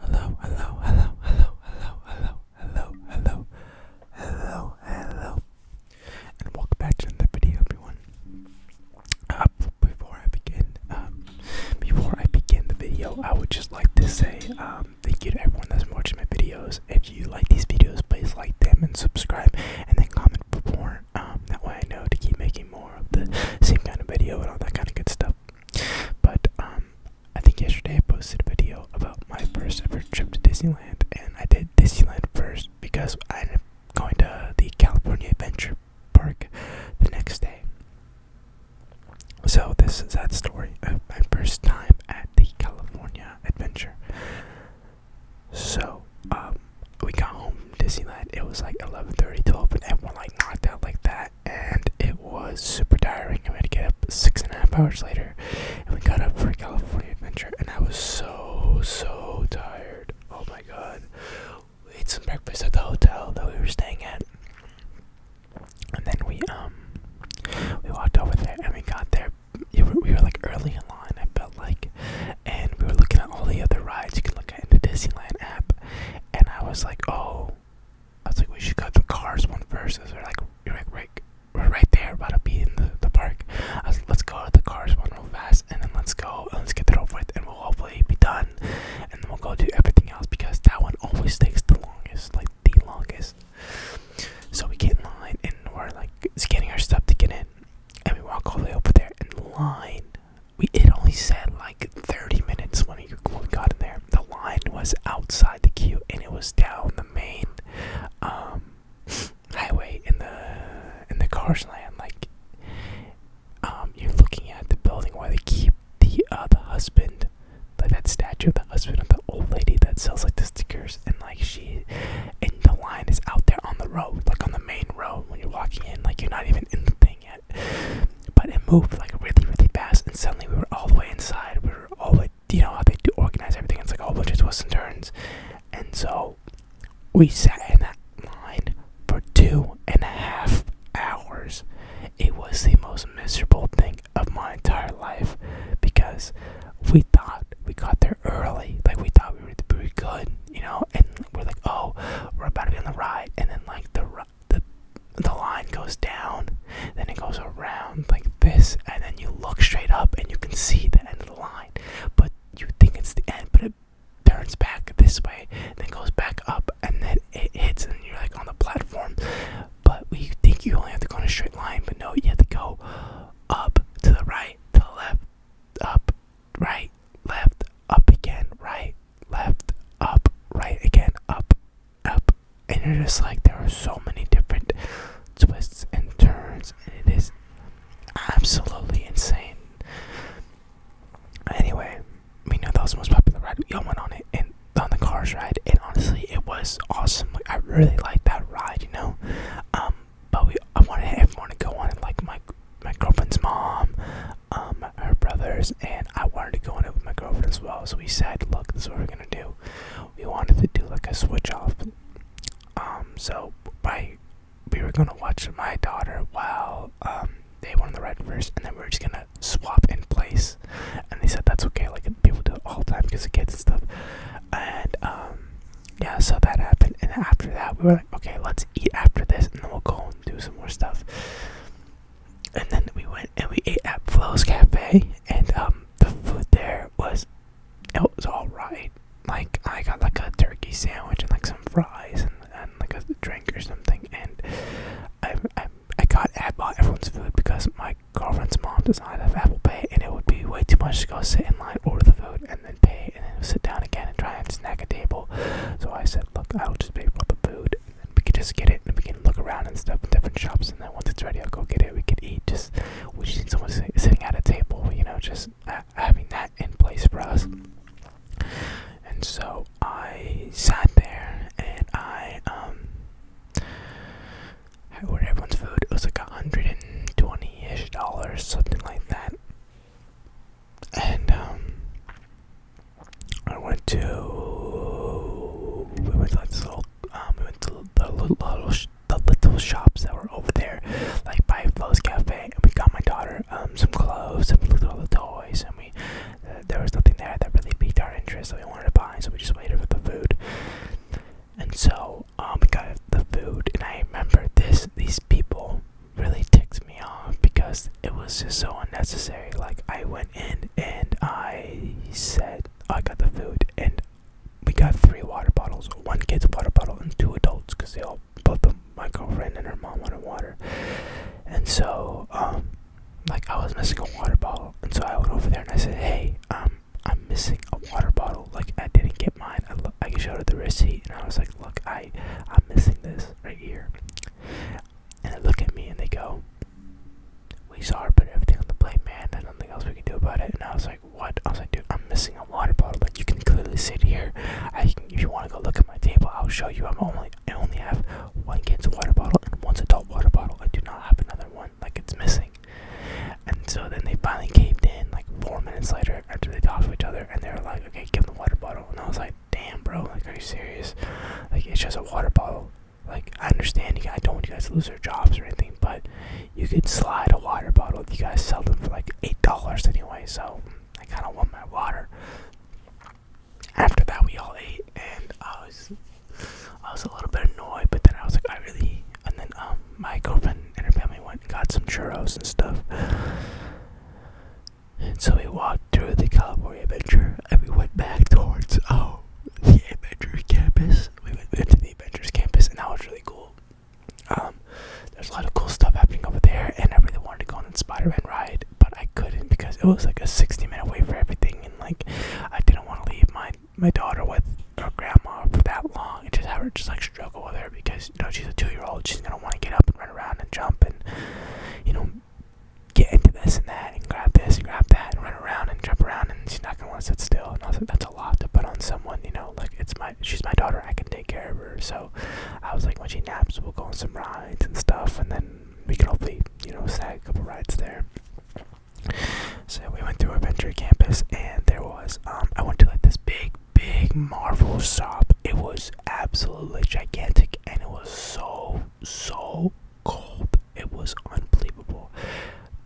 Hello, hello, hello, hello, hello, hello, hello, hello, hello, hello, and welcome back to another video, everyone. Uh, before I begin, um, before I begin the video, I would just like to say um, thank you to everyone that's watching my videos. If you like these videos, please like them and subscribe, and then comment for more. Um, that way I know to keep making more of the same kind of video and all that kind of good stuff. But um, I think yesterday I posted a video about my first ever trip to Disneyland, and I did Disneyland first because I am going to the California Adventure Park the next day. So this is that story of my first time at the California Adventure. So um, we got home Disneyland. It was like 11:30, 12, and everyone like knocked out like that and it was super tiring. I had to get up six and a half hours later, and we got up for a California adventure, and I was so so tired. Oh my god! We ate some breakfast at the hotel that we were staying at, and then we um we walked over there, and we got there. We were, like early in line. I felt like, and we were looking at all the other rides you can look at in the Disneyland app, and I was like, oh. I was like, we should go to the cars one first. Cause we're like, we're like, right, we're right there, about to be in the, the park. I was like, let's go to the cars one real fast, and then let's go, and let's get it over and we'll hopefully be done, and then we'll go do everything else because that one always takes the longest, like the longest. So we get in line, and we're like scanning our stuff to get in, and we walk all the way over there, in line we it only said like 30 minutes when we got in there. The line was outside the queue and it was down the main um, highway in the in the cars land. Like um, you're looking at the building where they keep the uh, the husband, like that statue of the husband of the old lady that sells like the stickers and like she and the line is out there on the road, like on the main road when you're walking in. Like you're not even in the thing yet. But it moved like really, really fast, and suddenly we were all the way inside. We were all like, you know how they do organize everything. It's like a whole bunch of twists and turns, and so we sat in that line for two and a half hours. It was the most miserable thing of my entire life because we thought we got there early, like we thought we were pretty good, you know, and we're like, oh, we're about to be on the ride, and then like the the the line goes down, then it goes around like this, and then you look straight up and you can see the end of the line. But you think it's the end, but it turns back this way, then goes back up, and then it hits, and you're like on the platform. But we think you only have to go in a straight line, but no, you have to go up to the right, to the left, up, right, left, up again, right, left, up, right again, up, up. And you're just like, there are so many different twists and turns, it is absolutely insane. Anyway, we know that was the most popular ride. We all went on it and on the cars ride, and honestly, it was awesome. Like, I really liked that ride, you know. Um, but we I wanted everyone to go on it. Like my my girlfriend's mom, um, her brothers, and I wanted to go in it with my girlfriend as well. So we said, "Look, this is what we're gonna do. We wanted to do like a switch off. Um, so by we were gonna watch my daughter while um, they were won the red first, and then we are just gonna swap in place. And they said that's okay. Like people do all the time because of kids and stuff. And um, yeah, so that happened. And after that, we were like, okay, let's eat after this, and then we'll go do some more stuff. And then we went and we ate at Flo's Cafe, and um, the food there was it was all right. Like I got like a turkey sandwich and like some fries and, and like a drink or something. And I I, I got I bought everyone's food because my girlfriend's mom does not have Apple Pay, and it would be way too much to go sit in line, order the food, and then pay and then sit down again and try and snag a table. So I said, look, I'll just pay for the food. And we can just get it and we can look around and stuff in different shops. And then once it's ready, I'll go get it. We could eat. Just we just need someone sitting at a table, you know, just having that in place for us. And so I sat there and I um I ordered everyone's food. It was like a hundred and twenty ish dollars, something like that and um, I went to we went to like this little um, we went to the little, the little shops that were over there, like by Flo's Cafe, and we got my daughter um some clothes and we looked little, the toys, and we uh, there was nothing there that really piqued our interest that we wanted to buy, so we just waited for the food. And so um, we got the food, and I remember this these people really ticked me off because it was just so unnecessary. Like I went in and I said I got the food and we got three water bottles, one kid's water bottle and two adults because they all both of my girlfriend and her mom wanted water. And so, um, like I was missing a water bottle, and so I went over there and I said, "Hey, um, I'm missing a water bottle. Like I didn't get mine. I, lo- I showed her the receipt, and I was like, look, I, I'm missing this right here. And they look at me and they go, we saw her put everything on the plate, man. There's nothing else we can do about it. And I was like, what? I was like, dude, I'm missing a water bottle. Like, you can clearly see here. I if you want to go look at my table, I'll show you. I'm only, I only have one kid's water bottle and one adult water bottle. I do not have another one. Like, it's missing. And so then they finally caved in, like, four minutes later after they talked to each other and they are like, okay, give him the water bottle. And I was like, damn, bro, like, are you serious? Like, it's just a water bottle. Like, I understand you guys, I don't want you guys to lose their jobs or anything, but you could slide a water bottle. You guys sell them for like $8 anyway, so I kind of want my water. After that, we all ate and I was. I was a little bit annoyed, but then I was like, I really, and then um, my girlfriend and her family went and got some churros and stuff. And so we walked through the California Adventure and we went back towards oh the Adventure campus. We went, into the Adventures campus and that was really cool. Um, there's a lot of cool stuff happening over there, and I really wanted to go on the Spider-Man ride, but I couldn't because it was like a 60-minute wait for everything, and like I didn't want to leave my my daughter with her grandma for that long and just have her just like struggle with her because because you know she's a two-year-old. She's gonna want to get up and run around and jump and you know get into this and that and grab this and grab that and run around and jump around and she's not gonna want to sit still. And I was like, that's a lot to put on someone. You know, like it's my she's my daughter. I can take care of her. So I was like, when she naps, we'll go on some rides and stuff, and then we can hopefully you know snag a couple rides there. So we went through Adventure Campus, and there was um, I went to like this big big Marvel shop. It was absolutely gigantic and it was so, so cold. It was unbelievable.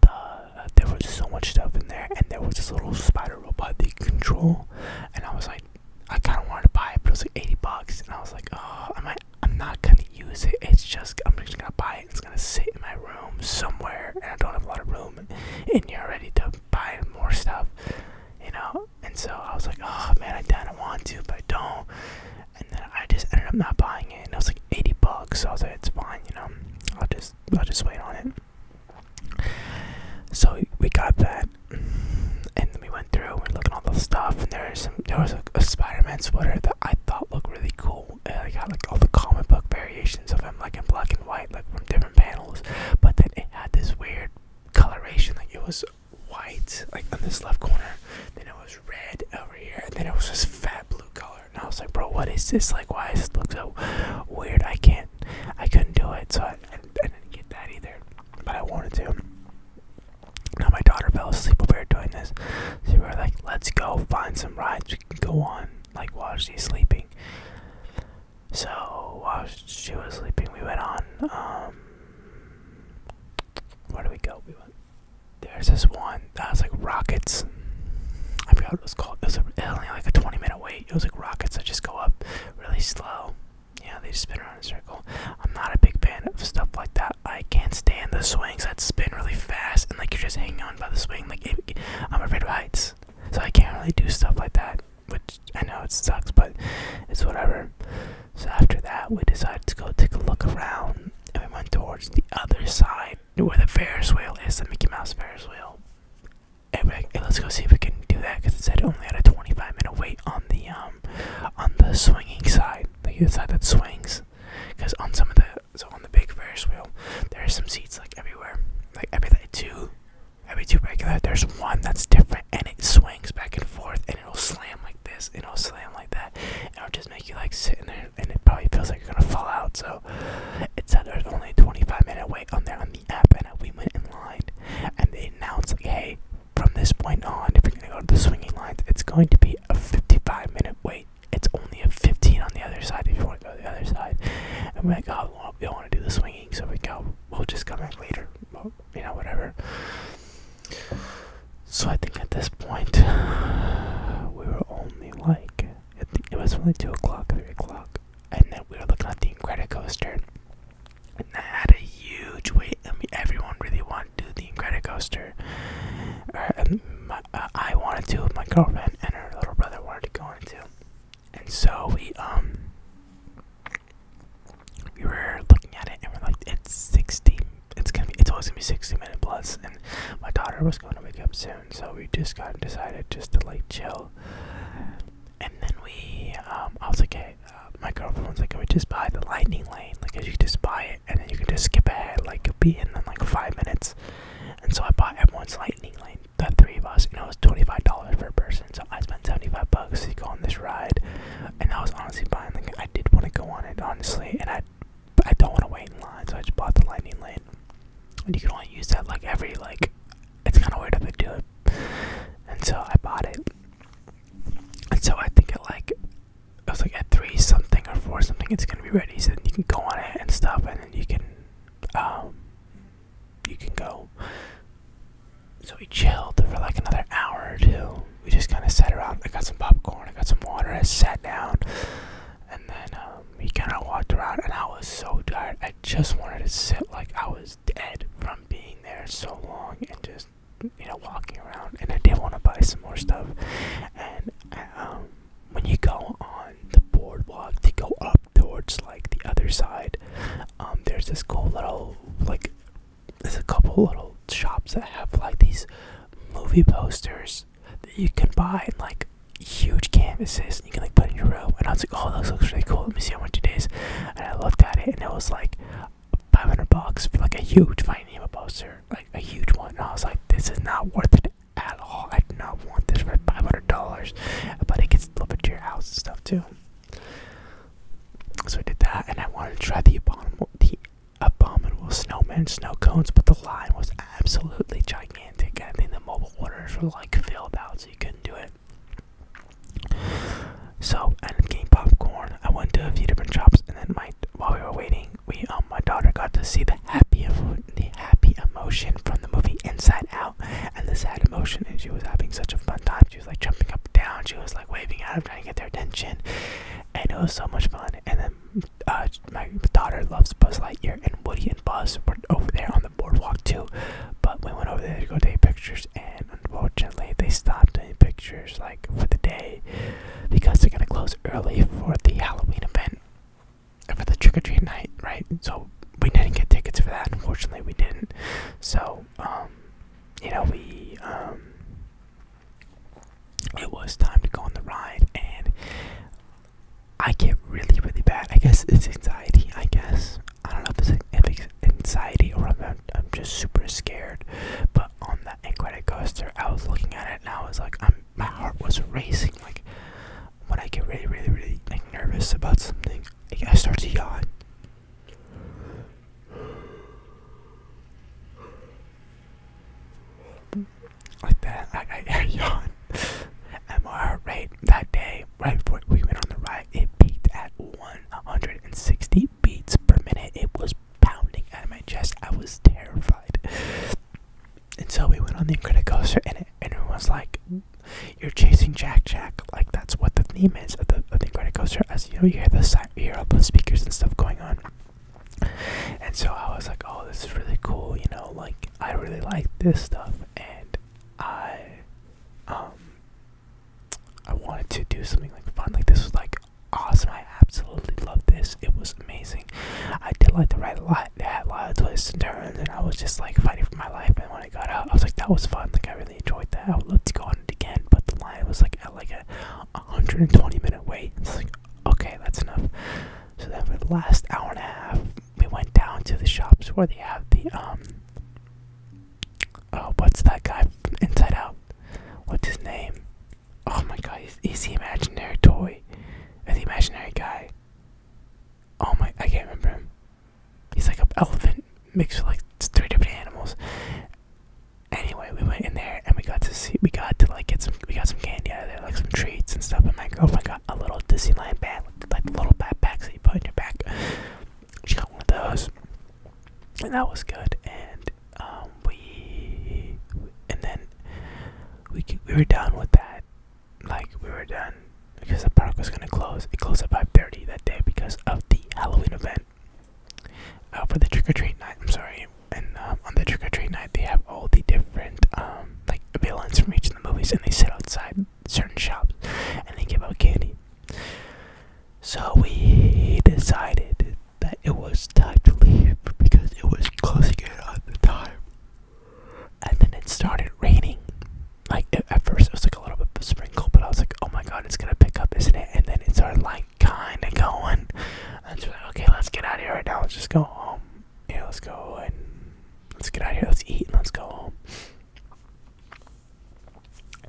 The, uh, there was so much stuff in there, and there was this little spider robot that you control. And I was like, I kind of wanted to buy it, but it was like 80 bucks. And I was like, oh, I might, I'm not going to use it. It's just, I'm just going to buy it. It's going to sit in my room somewhere, and I don't have a lot of room And you're already to to buy more stuff, you know. And so I was like, oh man, I kind of want to, but I don't. And then I just ended up not buying it, and it was like 80 bucks. So I was like, it's fine, you know. I'll just I'll just wait on it. So we got that, and then we went through and looking at all the stuff. And there was some there was a, a Spider-Man sweater that I thought looked really cool. And I got like all the comic book variations illustrations I'm like in black and white like from different panels but then it had this weird coloration like it was white like on this left corner then it was red over here then it was this fat blue color and i was like bro what is this like why does this look so weird i can't i couldn't do it so i, I didn't get that either but i wanted to now my daughter fell asleep while we were doing this so we were like let's go find some rides we can go on like while she's sleeping. So while she was sleeping, we went on. Um, where do we go? We went. There's this one that was like rockets. I forgot what it was called. It was, only like a 20 minute wait. It was like rockets that just go up really slow. Yeah, they just spin around in a circle. I'm not a big fan of stuff like that. I can't stand the swings that spin really fast and like you're just hanging on by the swing. Like I'm afraid of heights. So I can't really do stuff like that, which I know it sucks, but it's whatever. So after that, we decided to go take a look around, and we went towards the other side where the Ferris wheel is, the Mickey Mouse Ferris wheel. And we let's go see if we can do that because it said only had a 25 minute wait on the um on the swinging side, the other side that swings. Because on some of the so on the big Ferris wheel, there are some seats like everywhere. Like every like, two, every two regular, there's one that's different, and it swings back and forth, and it'll slam like this, and it'll slam like that, and it'll just make you like sit in there, and it probably feels like you're gonna fall out. So it said there's only a 25 minute wait on there on the app, and we went in line, and they announced like, hey, from this point on, if you're gonna go to the swinging lines, it's going to be a 55 minute wait it's only a 15 on the other side if you want to go the other side. And we're like, oh, we don't want to do the swinging, so we go, we'll just come back later. you know, whatever. So I think at this point, we were only like, it was only 2 o'clock, 3 o'clock. And then we were looking at the Incredicoaster. And that had a huge wait. I mean, everyone really wanted to do the Incredicoaster. Uh, uh, I wanted to with my girlfriend, and her little brother wanted to go into. And so we um we were looking at it, and we're like, it's sixty. It's gonna be. It's always gonna be sixty minute plus. And my daughter was going to wake up soon, so we just got decided just to like chill. And then we, um, I was like, hey, uh, my girlfriend was like, can we just buy the lightning lane? Like, you just buy it, and then you can just skip ahead, like, you'll be in, in like five minutes. And so I bought everyone's lightning lane, the three of us, and it was $25 per person. So I spent 75 bucks to go on this ride. And I was honestly buying, like, I did want to go on it, honestly. And I, I don't want to wait in line, so I just bought the lightning lane. And you can only use that, like, every, like, it's kind of weird if they do it. And so I bought it. And so I think at, like, it was like at three something or four something it's gonna be ready so then you can go on it and stuff and then you can um you can go so we chilled for like another hour or two we just kind of sat around i got some popcorn i got some water i sat down and then um, we kind of walked around and i was so tired i just wanted to sit like i was dead from being there so long and just you know walking around and i did want to buy some more stuff and um when you go on the boardwalk to go up towards like the other side, um, there's this cool little like there's a couple little shops that have like these movie posters that you can buy in like huge canvases and you can like put in your room. And I was like, oh, this looks really cool. Let me see how much it is. And I looked at it and it was like 500 bucks for like a huge Finding Nemo poster like a huge one. And I was like, this is not worth it at all. I do not want this for five hundred dollars, but it gets delivered to your house and stuff too. So I did that, and I wanted to try the abominable, the abominable snowman snow cones, but the line was absolutely gigantic. I think the mobile orders were like filled out, so you couldn't do it. So I ended getting popcorn. I went to a few different shops, and then my while we were waiting, thing. We um my daughter got to see the happy the happy emotion from the movie Inside Out and the sad emotion and she was having such a fun time. She was like jumping up and down, she was like waving at him trying to get their attention and it was so much fun. And then uh, my daughter loves Buzz Lightyear and Woody and Buzz were over there on the boardwalk too. But we went over there to go take pictures and unfortunately they stopped taking pictures like for the day because they're gonna close early for the Halloween event, for the trick or treat night, right? So we didn't get tickets for that. Unfortunately, we didn't. So, um, you know, we, um, it was time to go on the ride, and I get really, really bad. I guess it's anxiety. I guess I don't know if it's, if anxiety or I'm just super scared, but on that Incredicoaster, coaster, I was looking at it and I was like, I'm, my heart was racing. Like when I get really, really, really like nervous about something, I start to yawn. Like that, I, I yawn. And my heart rate that day, right before we went on the ride, it peaked at 160 beats per minute. It was pounding out of my chest. I was terrified. And so we went on the Incredicoaster, and, it, and everyone was like, "You're chasing Jack Jack!" Like that's what the theme is of the of the Incredicoaster. As you know, you hear the you hear all the speakers and stuff going on. And so I was like, "Oh, this is really cool." You know, like I really like this stuff, and I, um, I wanted to do something like fun. Like this was like awesome. I absolutely loved this. It was amazing. I did like the ride a lot. They had a lot of twists and turns, and I was just like fighting for my life. And when I got out, I was like, that was fun. Like I really enjoyed that. Let's go on it again, but the line was like at like a 120 minute wait. It's like okay, that's enough. So then for the last hour and a half, we went down to the shops where they have the um. Oh, what's that guy from Inside Out? What's his name? Oh my god, is, is the imaginary toy? Or the imaginary guy? Oh my, I can't remember him. He's like an elephant mixed with like three different animals. Anyway, we went in there and we got to see, we got to like get some, we got some candy out of there, like some treats and stuff. And oh my girlfriend got a little Disneyland bag, like, like little backpacks that you put in your back. She got one of those. And that was good. And um, we and then we we were done with that. Like we were done because the park was gonna close. It closed at five thirty that day because of the Halloween event. Uh, for the trick or treat night, I'm sorry. And um, on the trick or treat night, they have all the different um, like villains from each of the movies, and they sit outside certain shops and they give out candy. So we decided that it was time to leave because it was closing in on the time. And then it started raining. Like at first, it was like a little bit of a sprinkle, but I was like, "Oh my God, it's gonna pick up, isn't it?" And then it started like kind of going. And so like, "Okay, let's get out of here right now. Let's just go home. Yeah, let's go and let's get out of here. Let's eat and let's go home."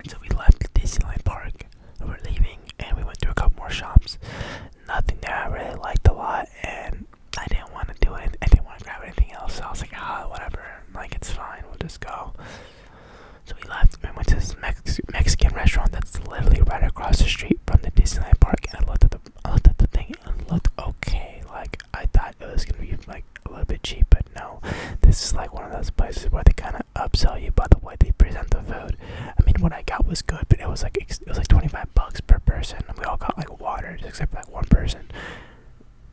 So we left Disneyland Park. We were leaving, and we went to a couple more shops. Nothing there I really liked a lot, and I didn't want to do it. I didn't want to grab anything else. So I was like, ah, whatever. Like it's fine. We'll just go. So we left. We went to this Mex Mexican restaurant that's literally right across the street from the Disneyland Park, and I looked at the I looked at the thing and it looked okay. Like I thought it was gonna be like a little bit cheap, but no know. This is like one of those places where they kind of upsell you by the way they present the food. I mean, what I got was good, but it was like it was like 25 bucks per person. We all got like water, except for like one person,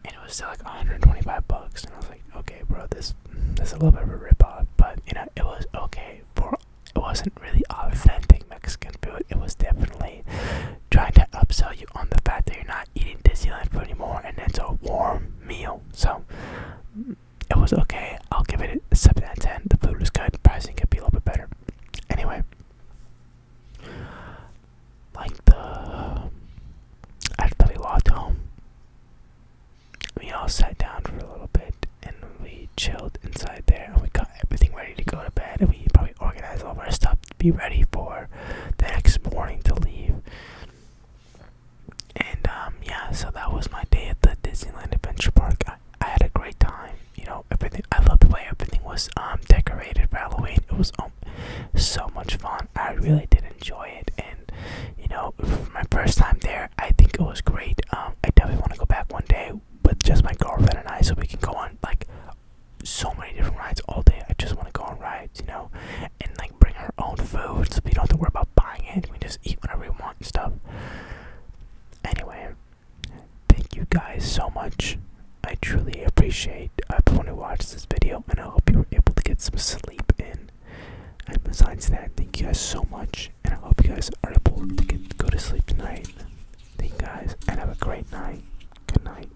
and it was still like 125 bucks. And I was like, okay, bro, this this is a little bit of a ripoff, but you know, it was okay. For it wasn't really authentic Mexican food. It was definitely trying to upsell you on the fact that you're not eating Disneyland food anymore, and it's a warm meal. So it was okay. I'll give it a 7 out of 10. The food was good. Pricing could be a little bit better. Anyway, like the. I really walked home. We all sat down for a little bit and we chilled inside there and we got everything ready to go to bed and we probably organized all of our stuff to be ready for the next morning to leave. And um, yeah, so that was my day at the Disneyland Adventure Park. I, had a great time. You know, everything. I loved the way everything was um, decorated for Halloween. It was um, so much fun. I really did enjoy it, and you know, for my first time there, I think it was great. I definitely want to go back one day with just my girlfriend and I, so we can go on like so many different rides all day. I just want to go on rides, you know, and like bring our own food so we don't have to worry about buying it. We just eat whatever we want and stuff. Anyway, thank you guys so much. I truly appreciate everyone who watched this video, and I hope you were able to get some sleep in. And besides that, thank you guys so much, and I hope you guys are able to get, go to sleep tonight. Thank you guys, and have a great night. Good night.